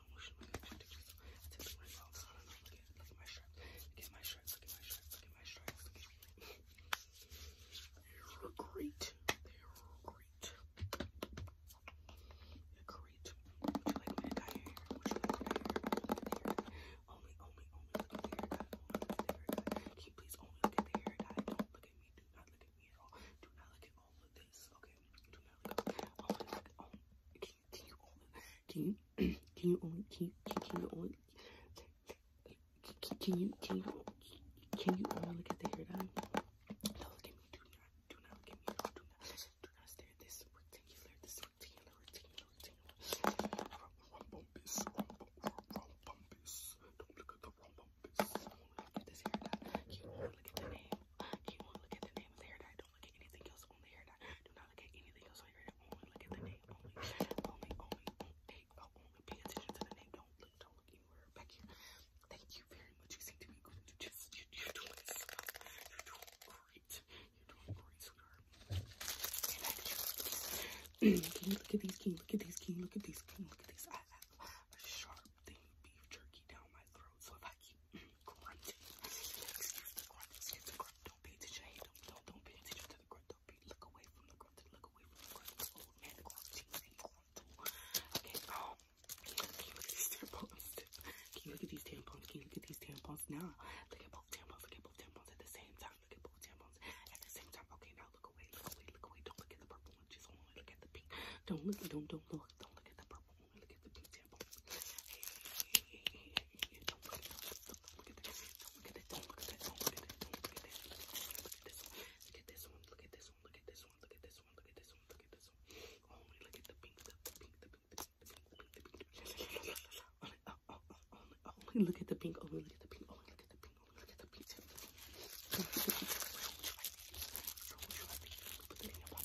but emotional connections. I take my mouth on and on. Look at, look at my stripes. Look at my stripes. Look at my stripes. Look at my stripes. Look at my stripes. They're great. They're great. They're great. Would you like me to dye your hair? Would you like me to dye your hair? Only, only, only look at the haircut. Only look at the haircut. Can you please only look at the haircut? Don't look at me. Do not look at me at all. Do not look at all of this. Okay. Do not look at all of this. Oh, do can you can you only can you can you only can you can you can you only look at the hair dye? No, look at me. Do not do not look at me. do not do not stare at this rectangular this rectangular rectangular rectangular. Rumbumpus, rumbumpus. Don't look at the rumbumpus. Only look at this hair dye. Can you look at the name? Can you look at the name of the hair dye? Don't look at anything else on the hair. Not, do not look at anything else on your hair. Only look at the name. Only, only, only, only, oh, only pay attention to the name. Don't look, don't look anywhere back here. Thank you very much. You seem to be good. You just, you, you're doing stuff. You're doing great. You're doing great, sweetheart. Can you look at these? Can you look at these? Can you look at these? Can you look at these? I have a sharp thing of beef jerky down my throat so if I keep grunting, excuse the grunt, excuse the grunt, don't pay attention, don't, don't, don't pay attention to the grunt, don't pay, look away from the grunt, look away Okay, um, can you look at these tampons? Can you look at these tampons? Can look at both tampons, look at both tampons at the same time, look at both tampons at the same time. Okay, now look away, look away, look away, don't look at the purple one, just only look at the pink. Don't look, don't, don't look, don't look at the purple Look at the blue tampon. Hey, hey, hey, hey, hey, don't look at that. Don't look at that. Don't look at that. Don't look at that. Don't look at that. Don't look at that. Look at this one. Look at this one. Look at this one. Look at this one. Look at this one. Look at this one. Look at this one. Only look at the pink, the pink, the pink, the pink, the pink, the pink. Only, oh, oh, oh, only, only look at the pink. Only look at the pink. Only look at the pink. Only look at the pink. Don't look at the pink. Don't look at the pink. Put the thing up on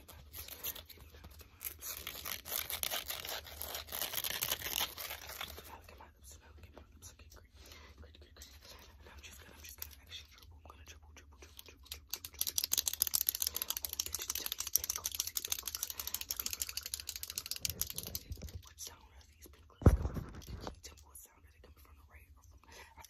And I'm just gonna, I'm just gonna actually dribble. I'm gonna dribble, dribble, dribble, dribble, dribble, dribble, dribble. Oh, bitch, tell me pin clips, pin clips. What sound are these pin clips coming from? Can you tell me what sound are they coming from, the right or from? I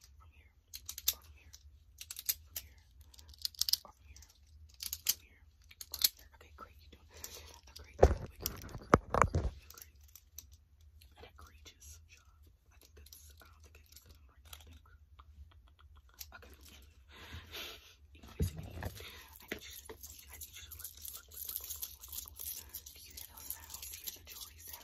from here, from here, from here, from here, from here, Okay, great, you doing a great, a great, a great, job. I think that's, I don't think I used the right now, Okay, you know, basically, I I need you to look, look, look, look, look, look, look, look, Do you hear those sounds? Do you hear the jewelry sounds?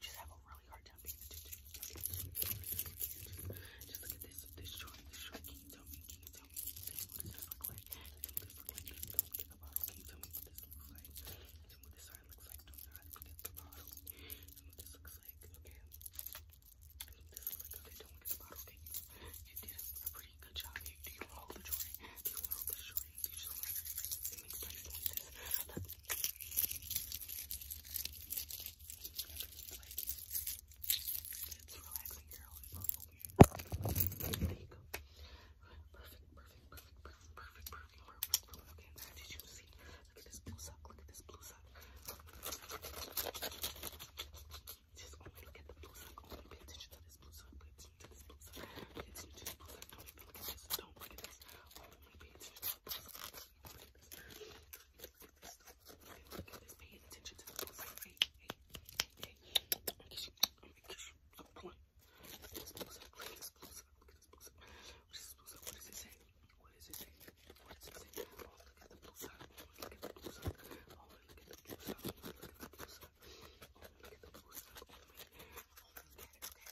just have a really hard time Just look at this, this short, you tell me, tell me, tell me what this look like? Tell me what this looks like? Tell me what this side looks like. Tell me what this looks like. Okay. Tell me what this looks like. Okay, don't the bottle. Okay, you, you did a pretty good job. Do you want to hold the joint? Do you want to hold the joint? It's relaxing, girl. It's not so weird. There you go. Perfect, perfect, perfect, perfect, perfect, perfect, perfect, perfect. Okay, now did you see? Look at this blue sock. Look at this blue sock. Just only look at the blue sock. Only pay attention to this blue sock. Pay attention to this blue sock. Pay attention to this blue sock. Don't even look at this. Don't look at this. Only Paying attention to the book. Hey, hey, hey, hey. Look at this books up. Look at this books up. Look at this books up. What is this books up? What does it say? What does it say? What does it say? Oh, look at the books up. Oh, look at the books up. Oh, look at the books up. Oh, look at the books up. Oh, look at the books up. Oh, look at the books up. Oh, look at it. Okay.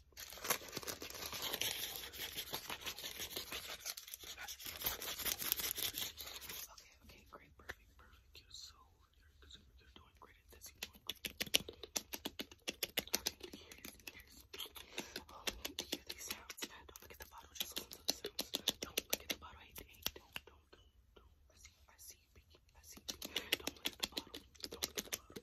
okay, great, perfect, perfect. You're so you're, are doing great at this. You're doing great. these sounds. Don't look at the bottle, just listen to the sounds. Don't look at the bottle. Hey, hey, don't, don't, don't, don't. I see, I see you peeking. I see you Don't look at the bottle. Don't look at the bottle.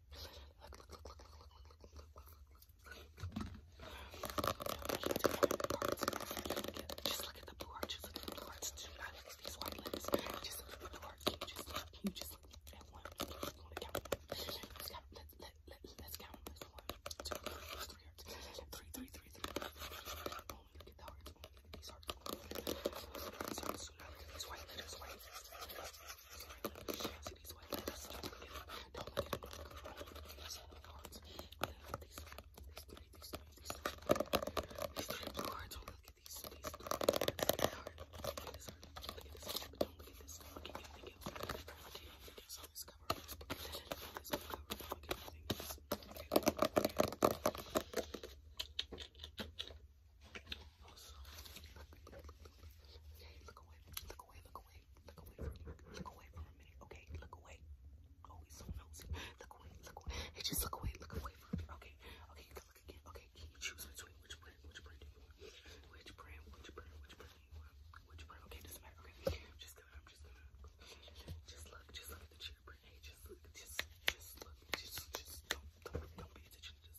Just look at the blue heart. Just look at the blue hearts. Do not look at these white lips. Just look at the blue heart. Can you just look? Can you just look at one? Let's count. Let's count. Let, let, let, let's count. Let's one, two, three hearts. Three, three, three, three. Only look at the hearts. Only look at these hearts. Only look at these hearts. Do not look at these white lips. White lips these white letters. Don't look at them. Don't look at them. Don't look at them. These are the cards. Look at these. These three. These three. These three. These three blue cards. Don't look at these. These blue cards. Look at this card. Look at this card. Look at this card. But don't look at this. Don't look at anything else. Don't look at anything else on this cover. Don't look at anything else on this cover. Don't look at anything else. Okay. Okay. Okay. Look away, look away, look away, look away from look away for a minute. Okay, look away. Oh, he's so nosy. Look away, look away. Hey, just look away, look away for a minute. Okay, okay, you can look again. Okay, can you choose between which brand, which brand do you want? Which brand, which brand, which brand do you want? Which brand? Okay, doesn't matter. Okay, I'm just gonna, I'm just gonna, just look, just look at the cheer brand. Hey, just look, just, just look, just, just don't, don't, don't pay attention. Just